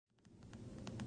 Hey Sarah.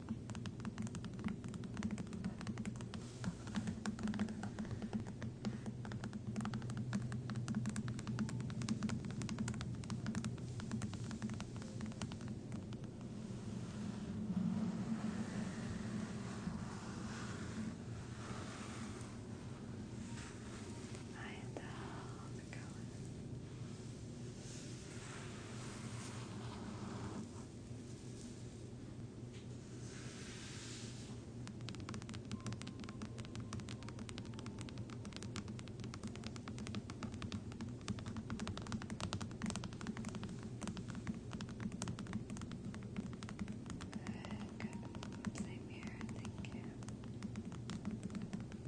I love the colors. Good. Same here, thank you.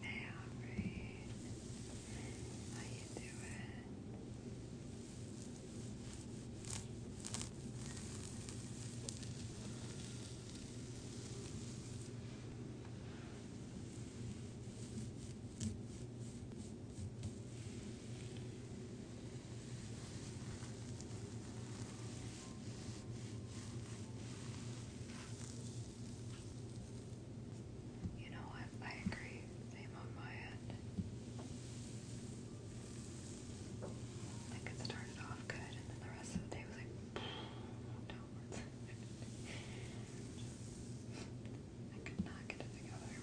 Hey, Aubrey. How you doing? You know what? I agree. Same on my end. Like it started off good, and then the rest of the day was like downwards. I could not get it together.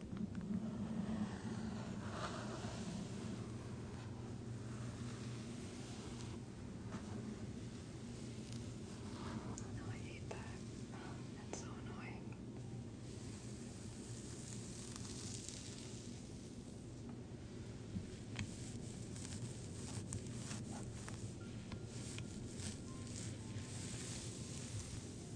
No, oh, I hate that. That's so annoying.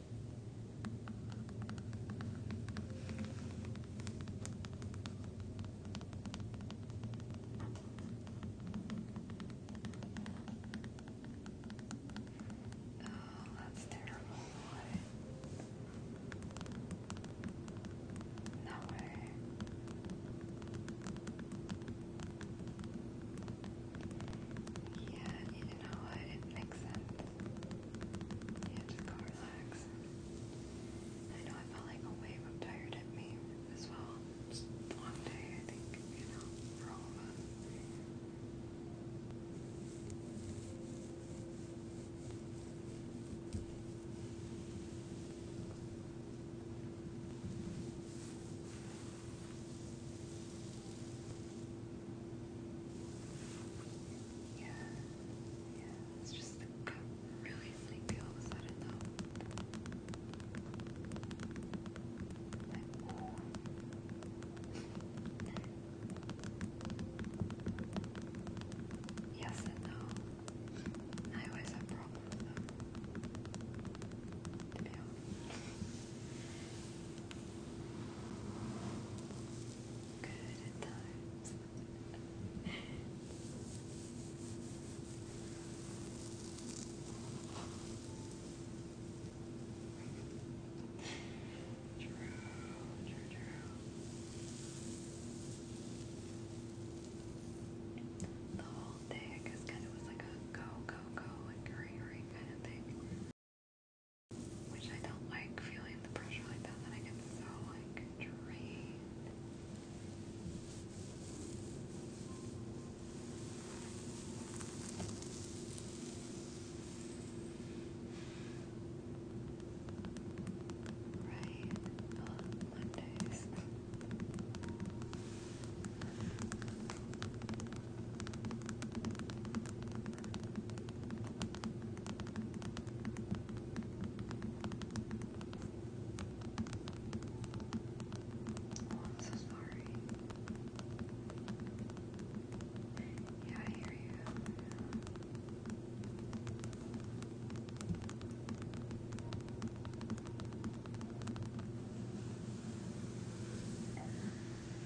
Oh, that's terrible. No way. Yeah, you know what? It makes sense. Yeah, just relax. I know I felt like a wave of tired at me as well. Just long day, I think, you know, for all of us. Yeah, yeah, it's just the got really sleepy all of a sudden though. yes and no. I always have problems with them. To Good times. The whole thing is kind of was like a go, go, go, like hurry, kind of thing. Which I don't like feeling the pressure like that, then I get so like drained. Right, Mondays. Oh, I'm so sorry. Yeah, I hear you.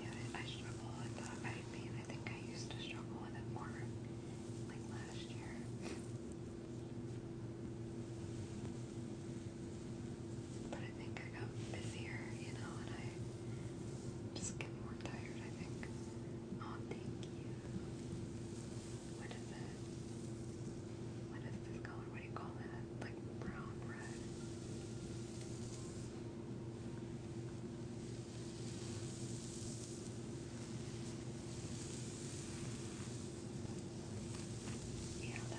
Yeah, I struggle with that. I mean, I think I used to struggle with it more like last year. But I think I got busier, you know, and I just get more tired, I think. Oh, thank you. What is it? What is this color? What do you call that? Like brown red. Yeah,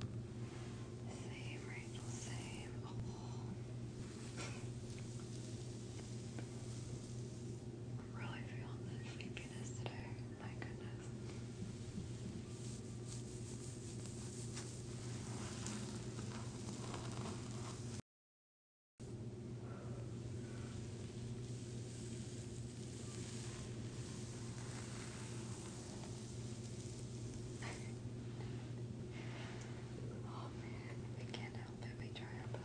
Save, Rachel, save. really feeling the sleepiness today. My goodness. Oh man, we can't help it. We try our best.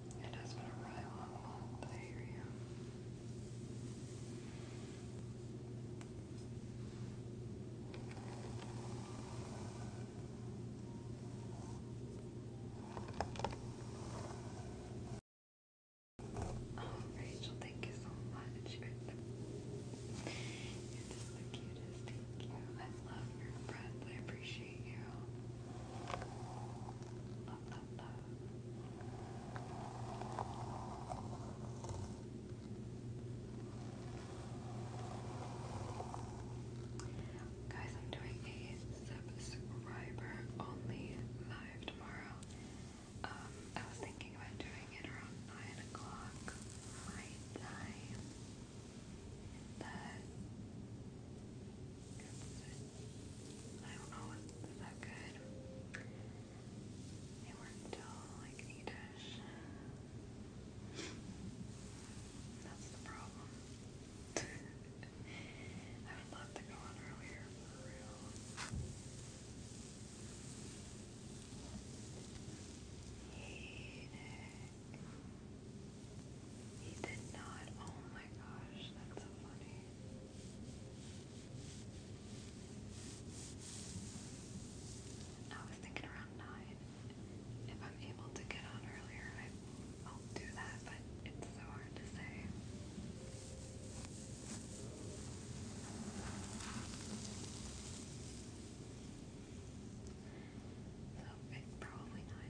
Oh, Rachel, thank you so much. You're the cutest. Thank you. I love your breath. I appreciate you. Uh, uh, Guys, I'm doing a subscriber only live tomorrow. Um, I was thinking about doing it around 9 o'clock my time. I don't know it's so good. They were still like neatish. That's the problem. I would love to go on earlier for real. Hey Nick. He did not. Oh my gosh, that's so funny. I was thinking around nine. If I'm able to get on earlier, I, will do that, but it's so hard to say. So, it, probably not.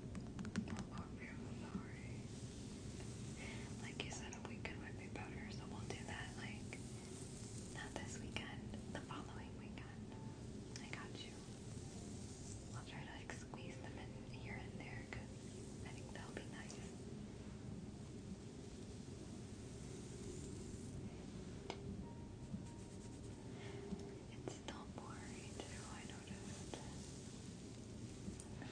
i you Like you said, a weekend would be better, so we'll do that. Like, not this weekend, the following weekend. I got you. I'll try to squeeze them in here and there, I think that'll be nice. It's not blurry too, I noticed. Yeah.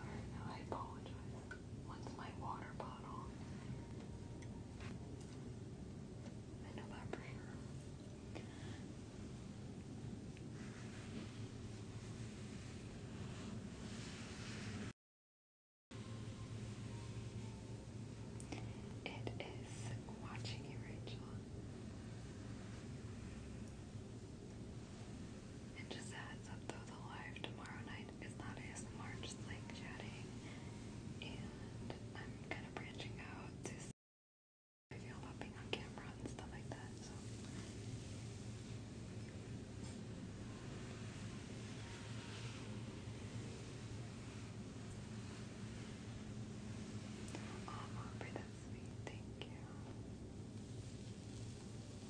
Alright, I apologize. What's my water bottle? I know that for It is watching you, Rachel. And just a up though, the live tomorrow night is not ASMR, just like chatting. And I'm kind of branching out to I feel about being on camera and stuff like that, so. Oh, Aubrey, that's Thank you.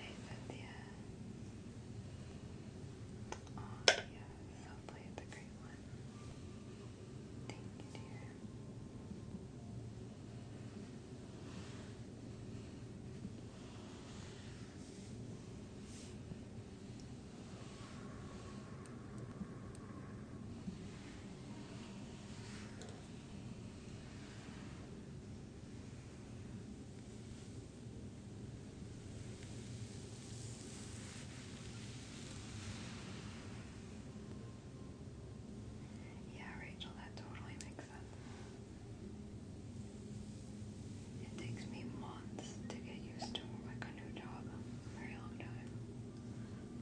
Hey, Cynthia. Oh, yes, hopefully it's a great one. Thank you, dear. Yeah, Rachel, that totally makes sense. It takes me months to get used to like a new job. very long time.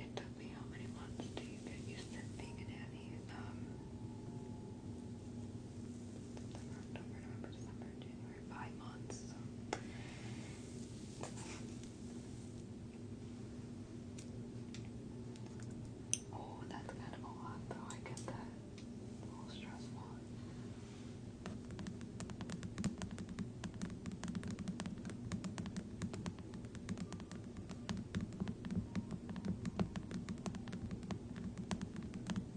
It took me how many months do you get used to being a nanny? September, October, November, December, January every five Oh, that's kind of a lot though, I get that. A stressful.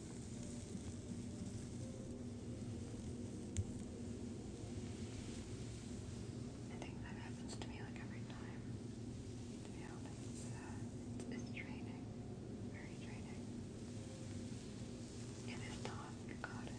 I think that happens to me like every time. To be honest, uh, it's, uh, very draining. And if you got it.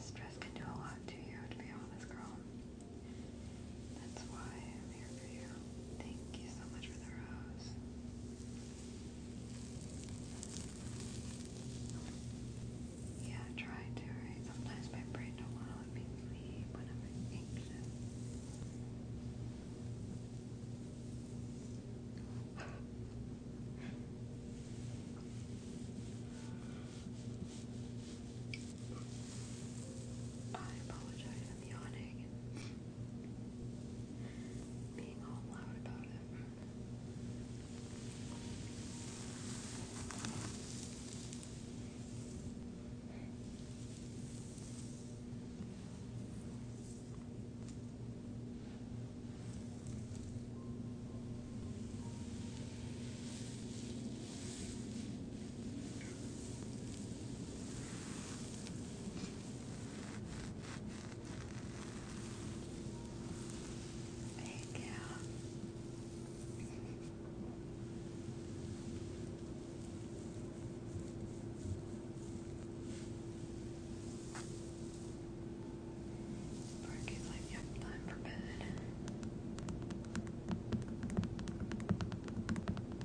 Stress can do a lot to you, to be honest, girl. That's why I'm here for you. Thank you so much for the rose. Yeah, try to, Sometimes my brain don't want to let me sleep when I'm anxious. I apologize, I'm yawning being all loud about it. Thank you. Parky's like, time for bed.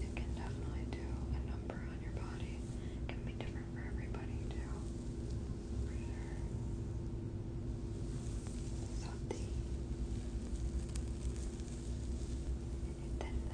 It can definitely do a number on your body. It can be different for everybody too. For sure.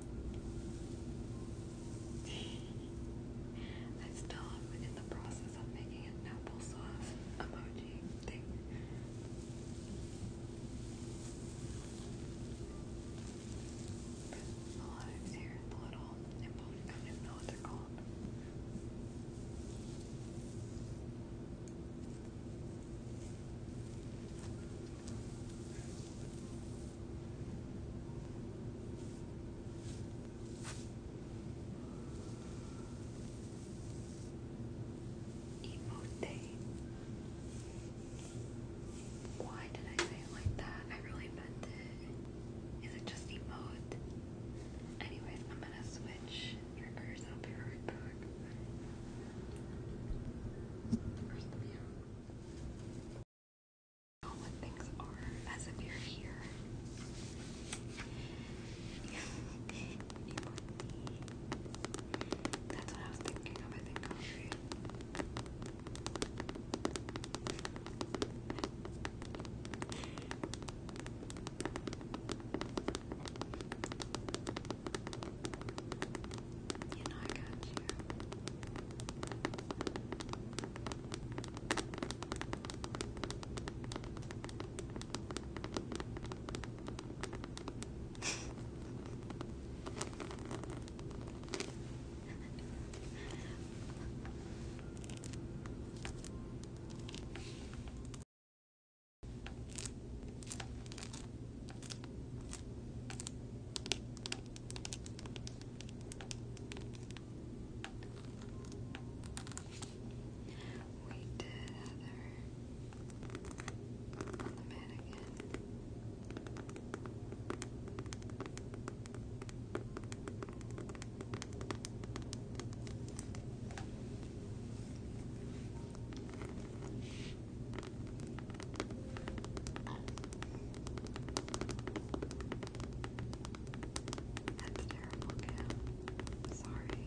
I still am in the process of making an applesauce emoji thing. The lives here, little nipple, I don't know what they're called. Emote. Why did I say it like that? I really meant it. Is it just emote? Anyways, I'm gonna switch triggers. I'll be right back what things are as if you're here. That's what I was thinking of, I think, coffee. You I got you. We did Heather on the mannequin. That's terrible, Sorry.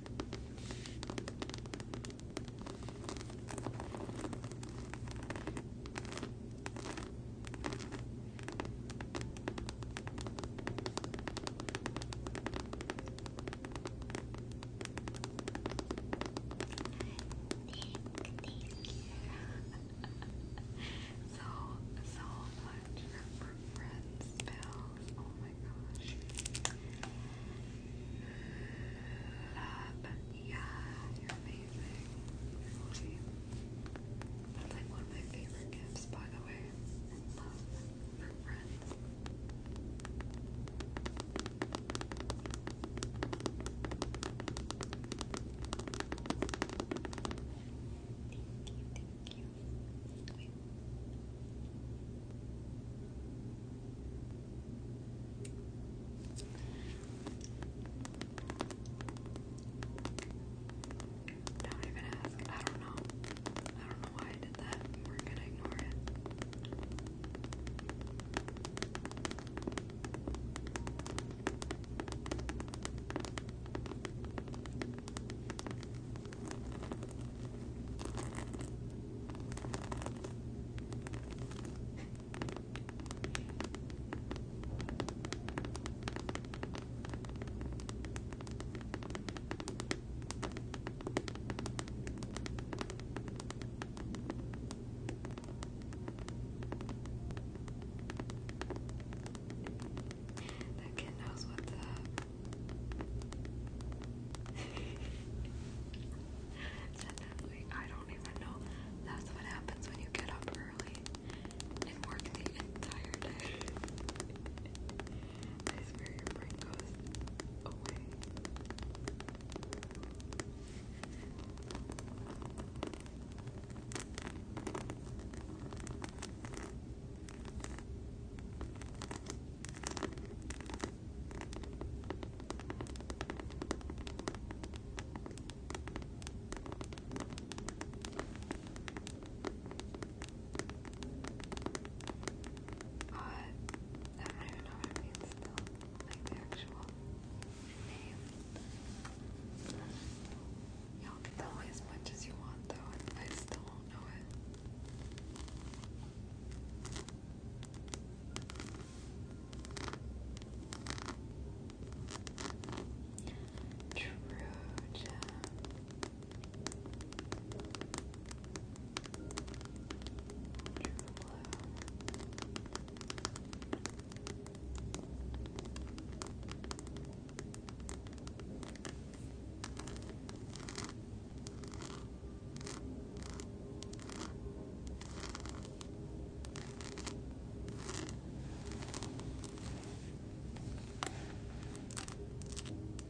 so so much for friends, Bill. Oh my gosh. Love. Yeah, you're amazing. That's like one of my favorite gifts, by the way. love friends. Thank you, thank you way. Don't even ask. I don't know. I don't know why I did that. We're gonna ignore it. That kid knows what's up. Definitely. I don't even know. That's what happens when you get up early and work the entire day. I swear your brain goes away. Uh, I don't know what it still, like the actual name. Y'all can tell me as much as you want though, I still won't know it. Trude. True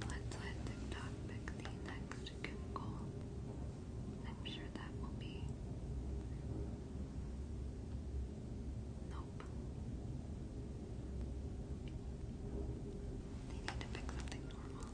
Let's let TikTok pick the next chemical. I'm sure that will be. Nope. They need to pick something normal.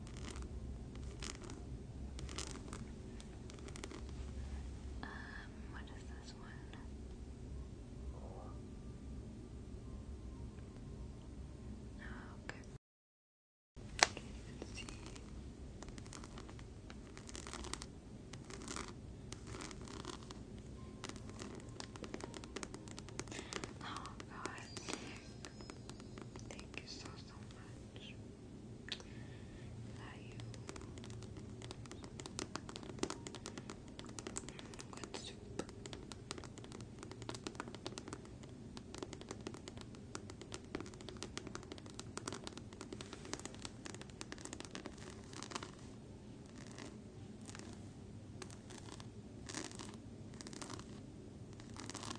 Um, what is this one? Oh, okay. Can't see. Oh, God, thank you so, so much. Love you.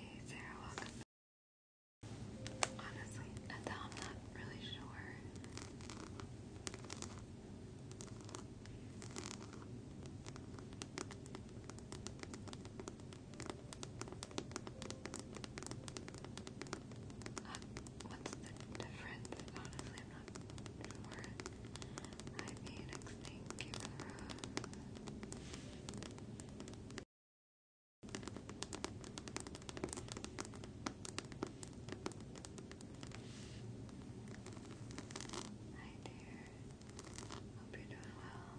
Hey Sarah, welcome Honestly, I'm not really sure. Uh, what's the difference? Honestly, I'm not sure. Hi, thank you Hi dear. Hope you're doing well.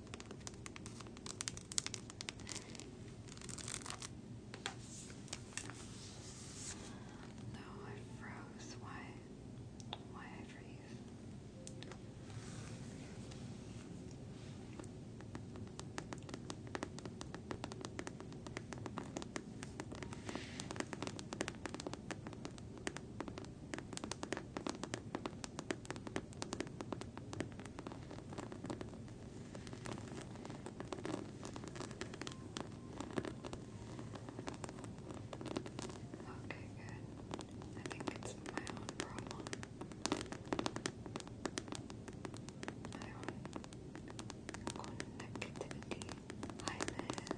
No, I froze. Why? Why I freeze? Okay, good. I think it's my own problem. My own connectivity. Hi there.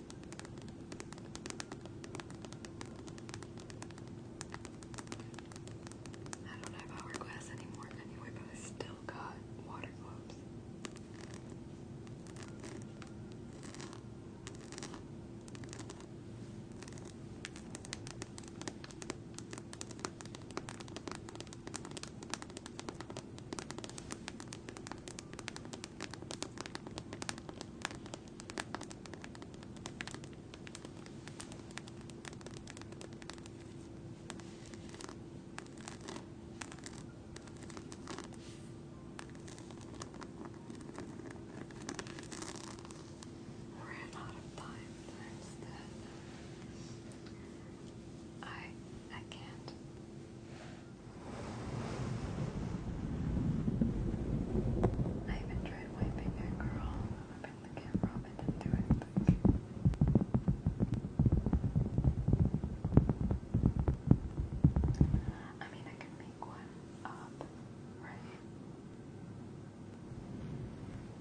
I don't have hourglass anymore anyway, but I still got water globes. Ran out of time. I I can't. I even tried wiping it, girl. Wiping the camera off, didn't do anything. I mean, I can make one up, right?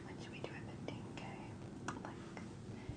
What should we do at 15k? Like,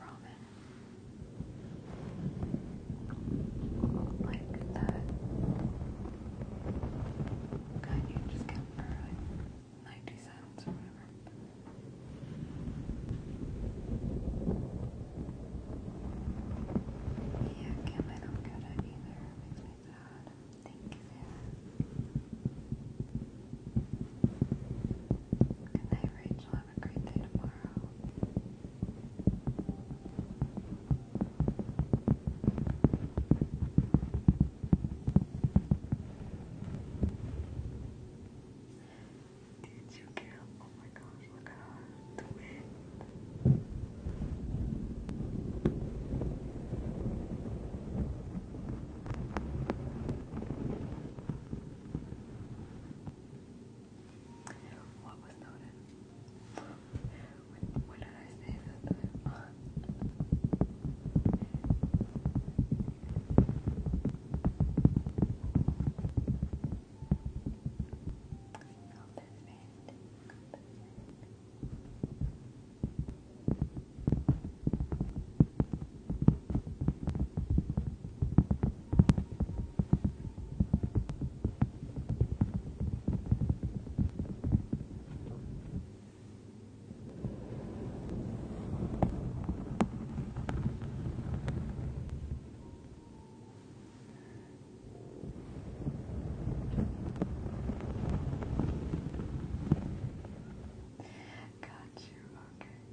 ramen. Like that kind you just get for like 90 cents or whatever. Yeah, Kim, I don't get it either. makes me sad. Thank you, Sarah. Good night, Rachel have Did you get? Oh my gosh! Look at her. Do it. What was noted? what did I say that time? Got you, okay. Eyebrow.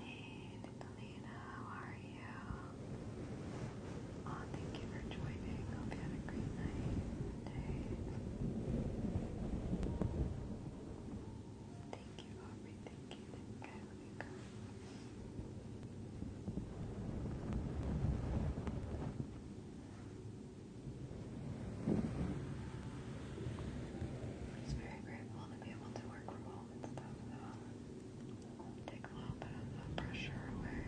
Hey, Nicolina, how are you? Oh, thank you for joining. Hope you had a great night today. Thank you, Aubrey. Thank you. Thank Let me go. I'm very grateful to be able to work from home and stuff, Take a little bit of the pressure away.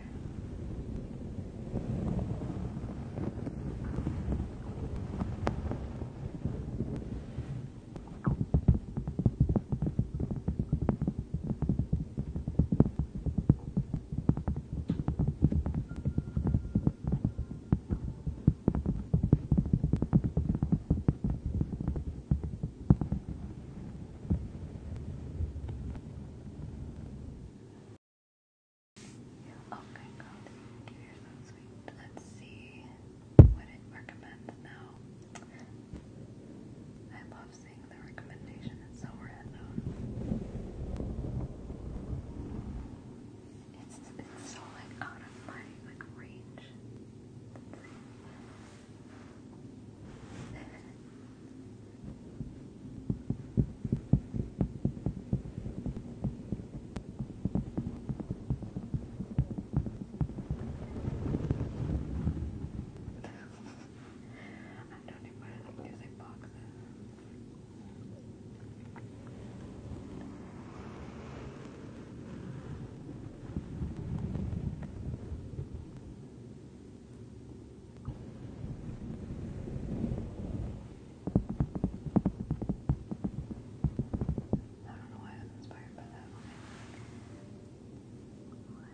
Oh my god, you're so sweet. Let's see what it recommends now. I love seeing the recommendation, it's so random. It's it's so like out of my like range. I don't even like music boxes. I don't know why I was inspired by that one. One.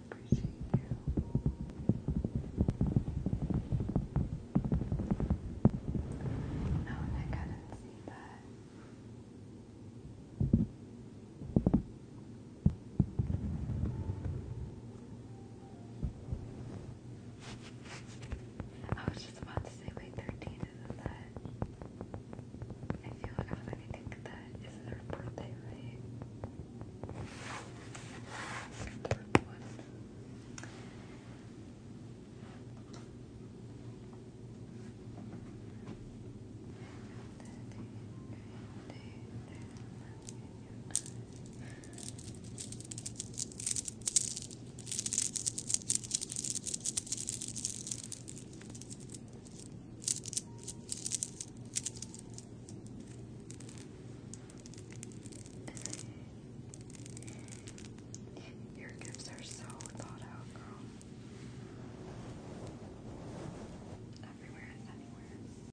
I appreciate you. No, I couldn't see that. I was just about to say, wait, 13 isn't that? I feel like I was that is their birthday, right? Third one. Thank your gifts are so thought out, girl. Everywhere and anywhere.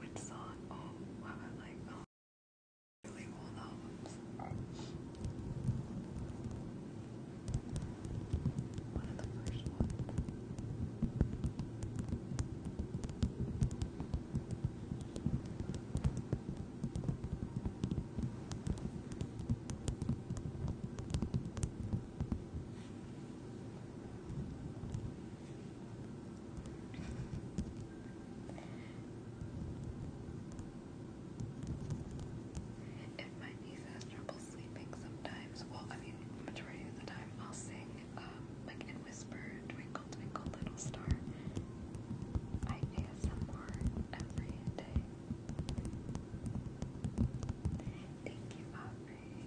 Which song? Oh, wow, I oh, really old albums. One of the first ones. If my niece has trouble sleeping sometimes, well, I mean, majority of the time, I'll sing, um, like in whisper, twinkle, twinkle, little star. I ASMR every day. Thank you, Aubrey.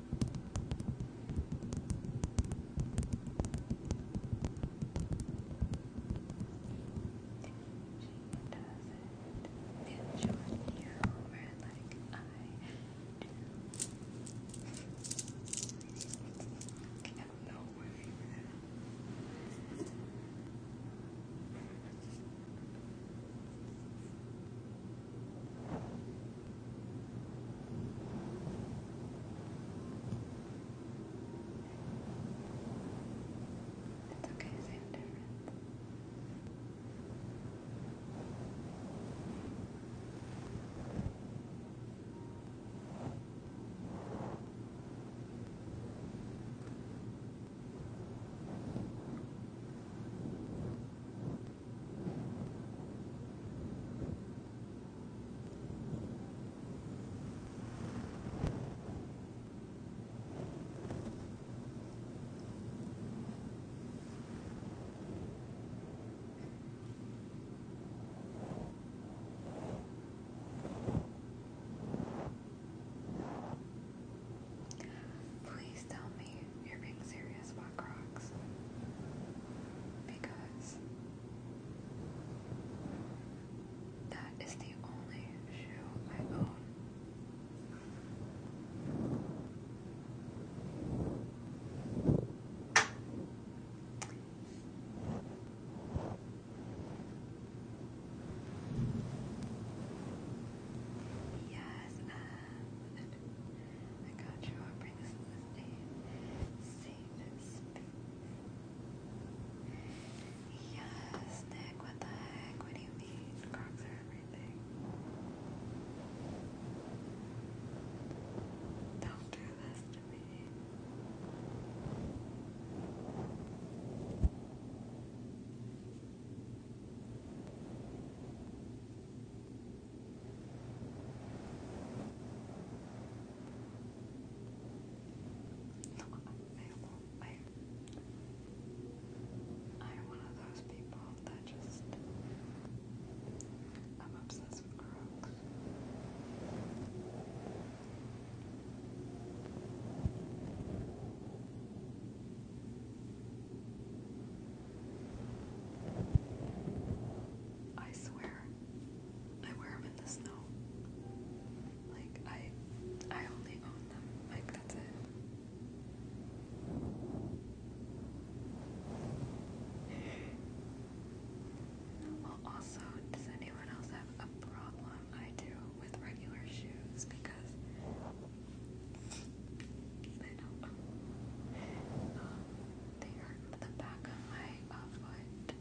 doesn't feel short like I do. I have no word for that. It's okay to say I'm different. Please tell me you're being serious about Crocs. Because that is the only shoe I own. Yes, I you Yes, Nick, what the heck? What do you mean? Crocs are everything. Don't do this to me. No, I, am one of those people that just I'm obsessed with crooks. I swear, I wear them in the snow. Like I, I only own them. Like that's it. also, does anyone else have a problem? I do with regular shoes because they hurt the back of my uh, foot.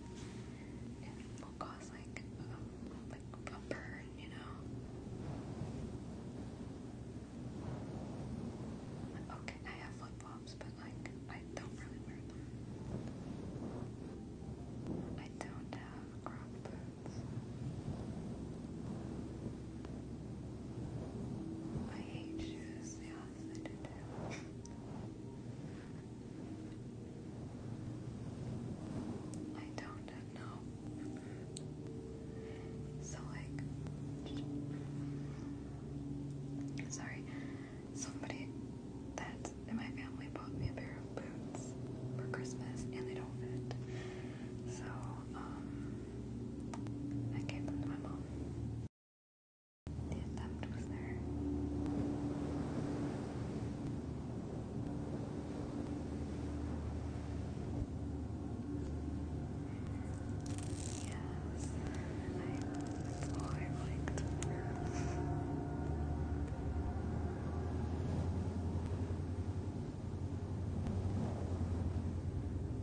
It will cause like um, like a burn, you know. Okay, I have flip flops, but like I don't really wear them. I don't have crop boots. I hate shoes. Yes, I do I don't know. So like, sorry, somebody that's in my family bought me a pair of boots for Christmas and they don't fit. So um, I gave them to my mom. The attempt was there. Yes, I, that's all I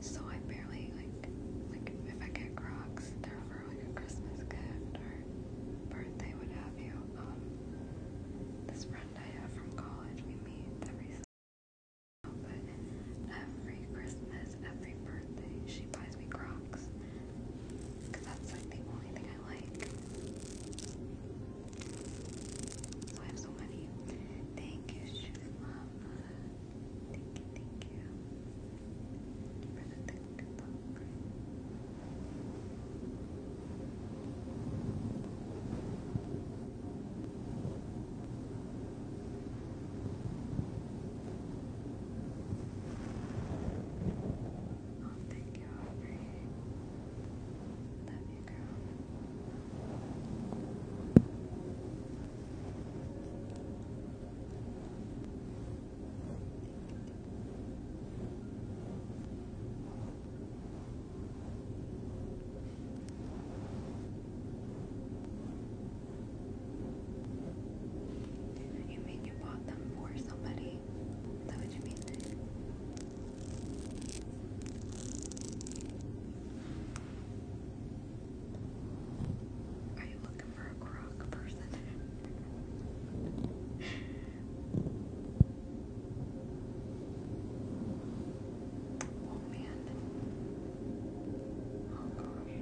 So I barely like like if I get Crocs, they're for like a Christmas gift or birthday, what have you. Um, this friend I have from college, we meet every but every Christmas, every birthday, she buys me Crocs. Cause that's like the only thing I like. I have so many. Thank you, Shoe Thank you, thank you. you for the thank Oh, thank you, Aubrey. Love you, you You mean you bought them for somebody? Is that what you mean? Are you looking for a croc person? oh man. Oh gosh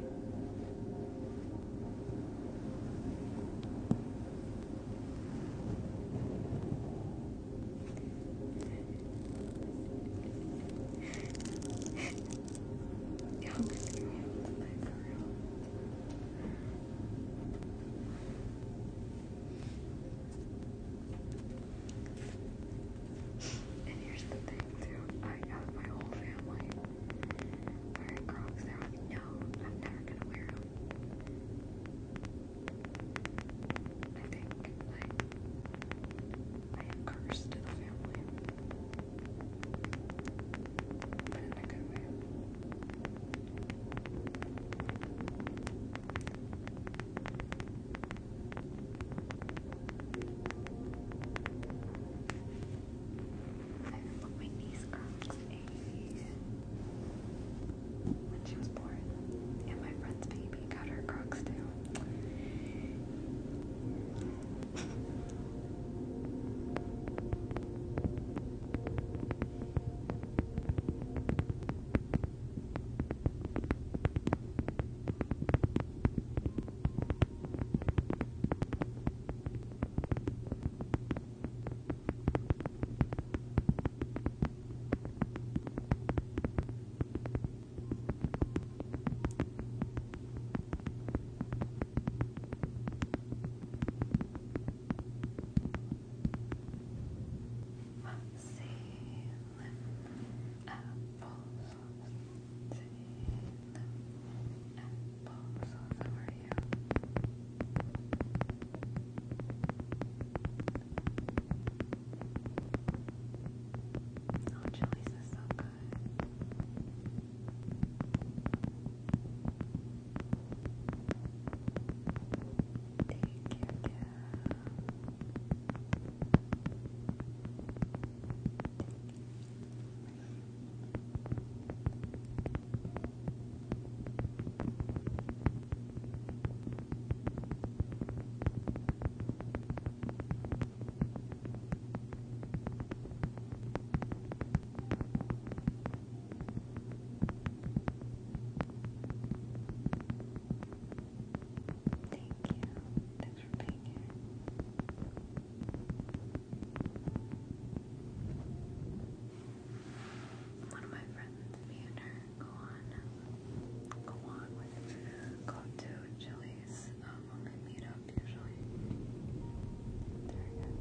you And here's the thing too, I have my whole family wearing Crocs. They're like, no, I'm never gonna wear them. I think I, I am cursed to the family, but a good way. I my niece cracks a when she was born, and my friend's baby got our crocks down. Sealing apples. Sealing apples. How are you? Oh, chilies so good. Take care, Thank you. Thanks for being here. One of my friends, me and her go on go on Go to Chili's we meet up usually. There you go.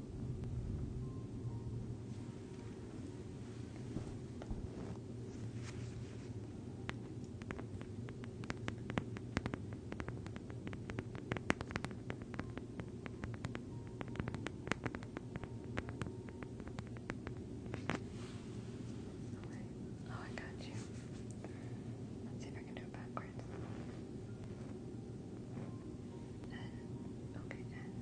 Right. Oh, I got you. Let's see if I can do it backwards. And, okay, and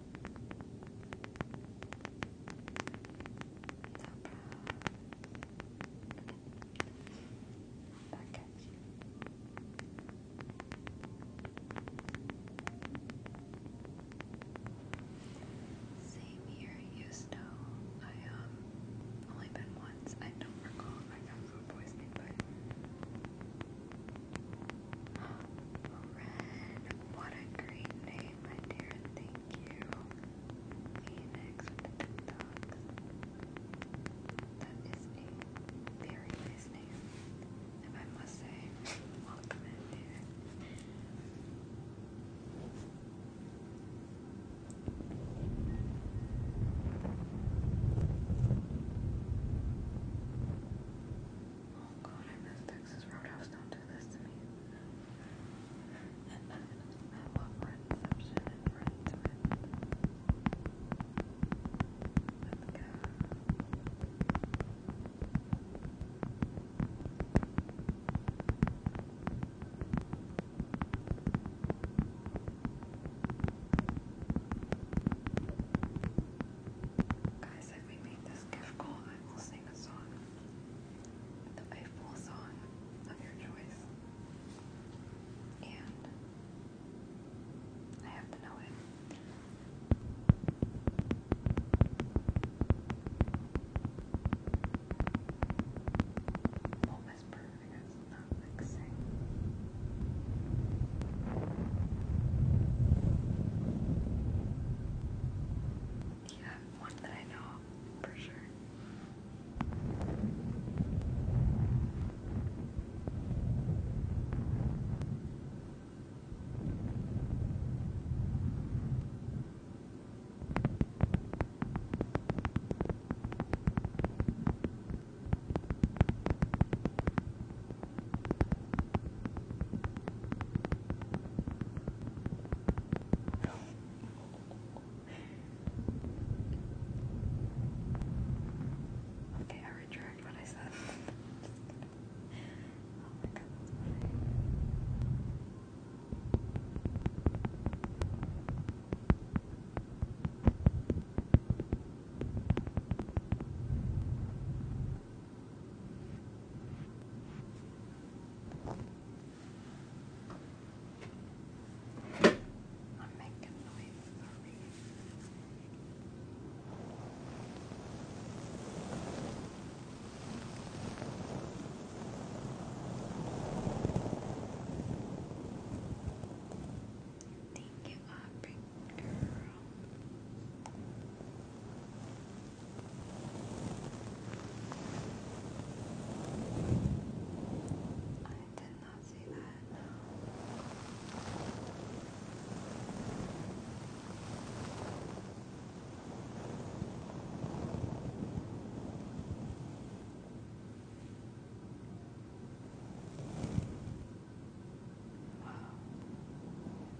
Back you. Same here, Houston. I um only been once. I don't recall if I got food poisoning, but Red, what a great name, my dear. Thank you. Phoenix with the That is a very nice name. If I must say, welcome dear. Oh god, I miss Texas Roadhouse. Don't do this to me. I love Redception and Red to it. let Guys, said we made this gift goal, I will sing a song. The full song of your choice. And I have to know it. We'll not like sing. Yeah, one that I know for sure. Okay, I retract what I said. oh my god, I'm making noise, Thank you, Aubrey girl. I did not see that, no. Wow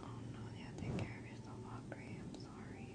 Oh no, yeah, take care of yourself, Aubrey. I'm sorry.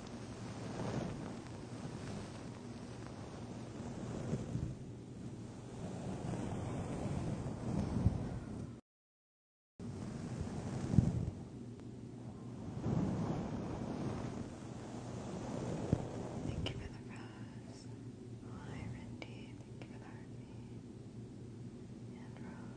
Thank you for the rose. Hi, Rendy. Thank you for the heartbeat. And rose.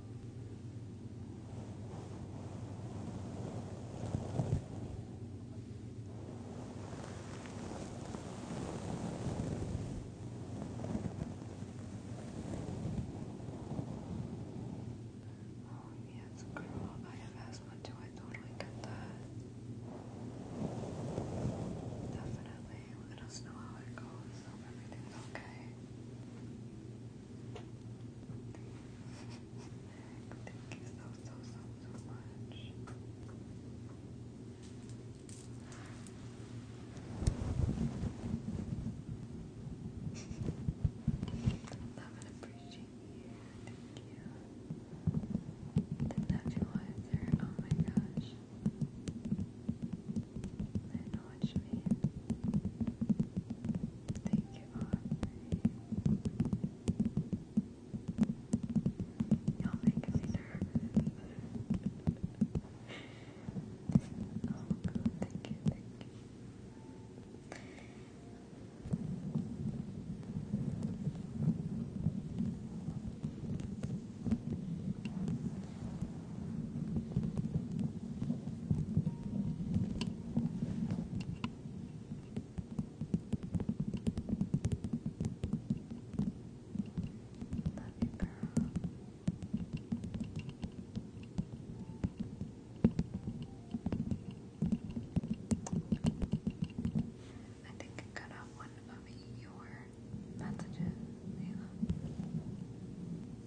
Oh, yeah, girl. I have asthma too. I totally get that. Definitely. Let us know how it goes. Hope everything's okay. Thank you so, so, so, so much. Love and appreciate you. Thank you. The nebulizer. Oh my gosh. I know what Thank you Y'all make me nervous. oh god, thank you, thank you. Love you, I think I cut out one of your messages, Layla.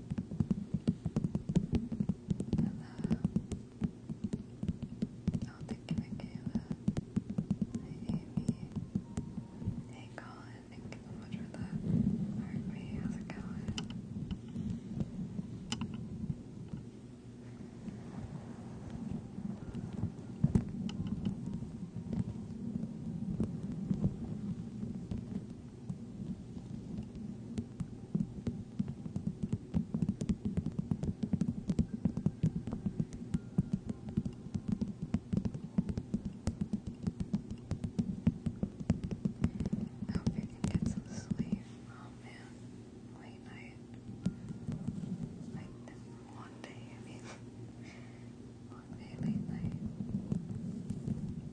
Hello. Oh, thank you, Amy. Hey, Colin. Thank you so much for the heartbeat. How's it going? I hope you some sleep. Oh man, late night. Like long day, I mean. Long day, late night.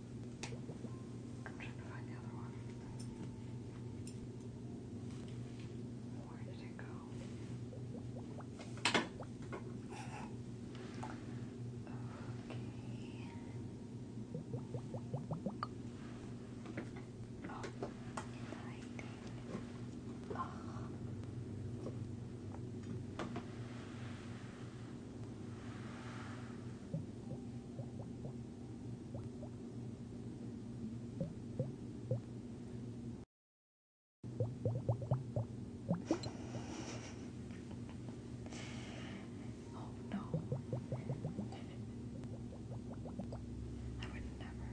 I'm trying to find the other one. Where did it go? Okay. Oh, lighting. Oh. Oh no. I would never.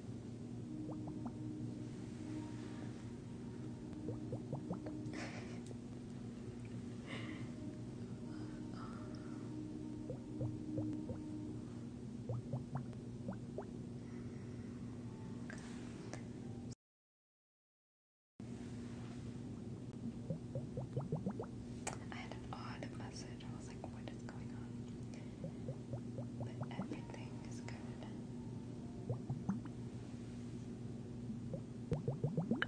I had an odd message. I was like, what is going on? but everything is good.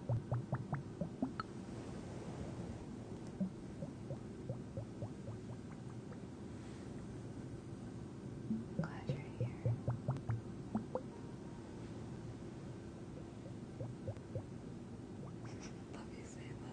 i glad you're here. Love you, Santa.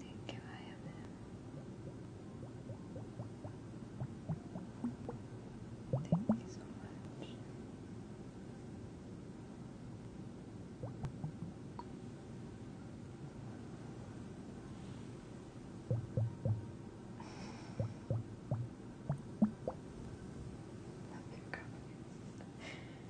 Thank you, I am him. Thank you so much. Love your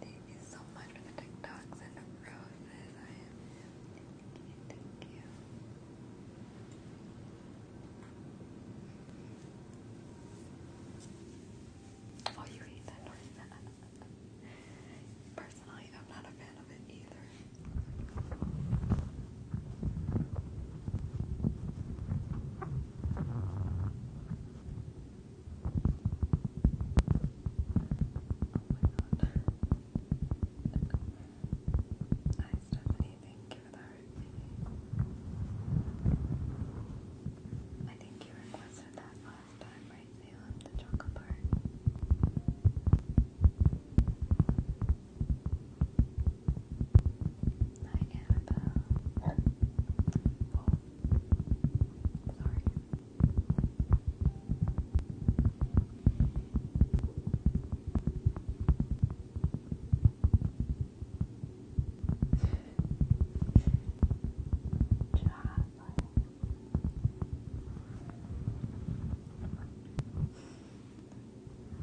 Thank you so much for the TikToks and the roses. I thank you, Oh, you hate that noise. Personally, I'm not a fan of it either. Hi oh Stephanie, thank you for the heartbeat. I think you requested that last time, right, Salem? The chocolate bar. Hi, Annabelle. Oh, sorry.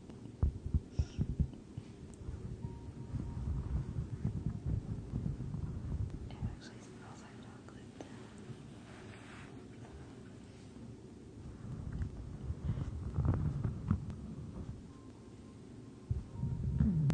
It actually smells like chocolate. Mm.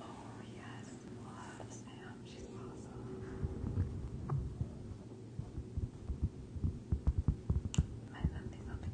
Oh yes, love Sam. She's awesome. I sent me something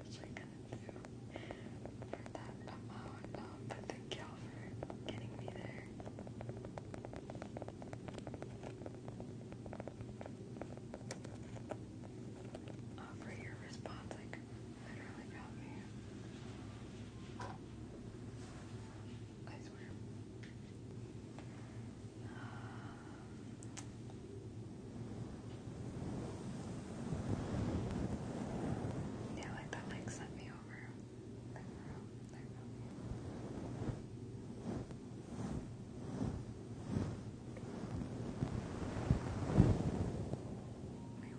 actually gonna do for that amount. Um, but thank y'all for getting me there. Oh, for your response, like literally got me. I swear. yeah, like that link sent me over. we were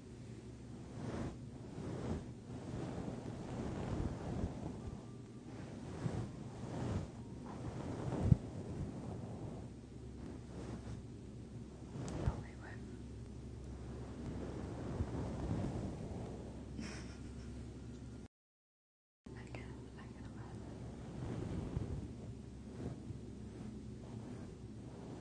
I can, I can imagine.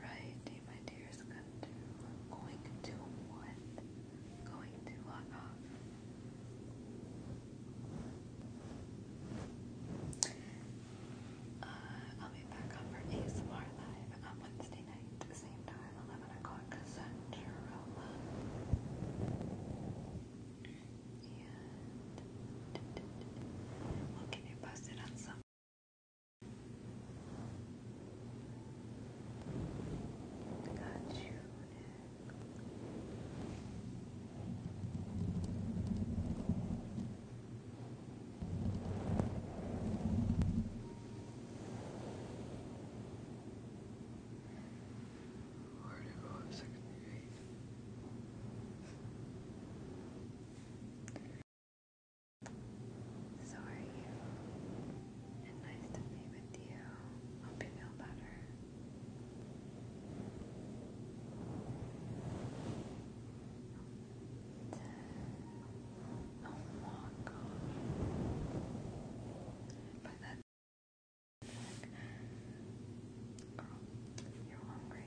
Alrighty, my dears, going to what? Going to log uh, off. Uh, I'll be back on for ASMR Live on Wednesday night, same time, 11 o'clock Central. And we'll keep you on some. Got you. Where do you go? So are you? And nice to be with you. Hope you feel better. Oh my god. But that's Girl, you're hungry.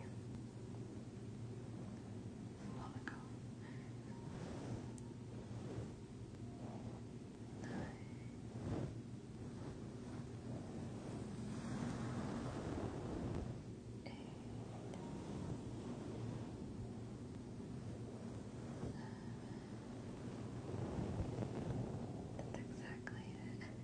Long ago. Nine. Eight. That's exactly it.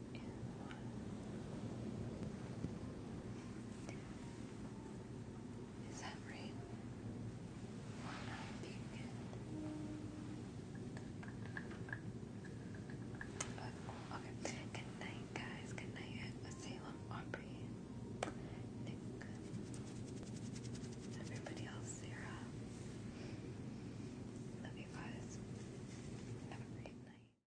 Is that right? okay. Good night, guys. Good night. Salem, Aubrey, Nick, everybody else, Sarah. Love you guys. Have a great night.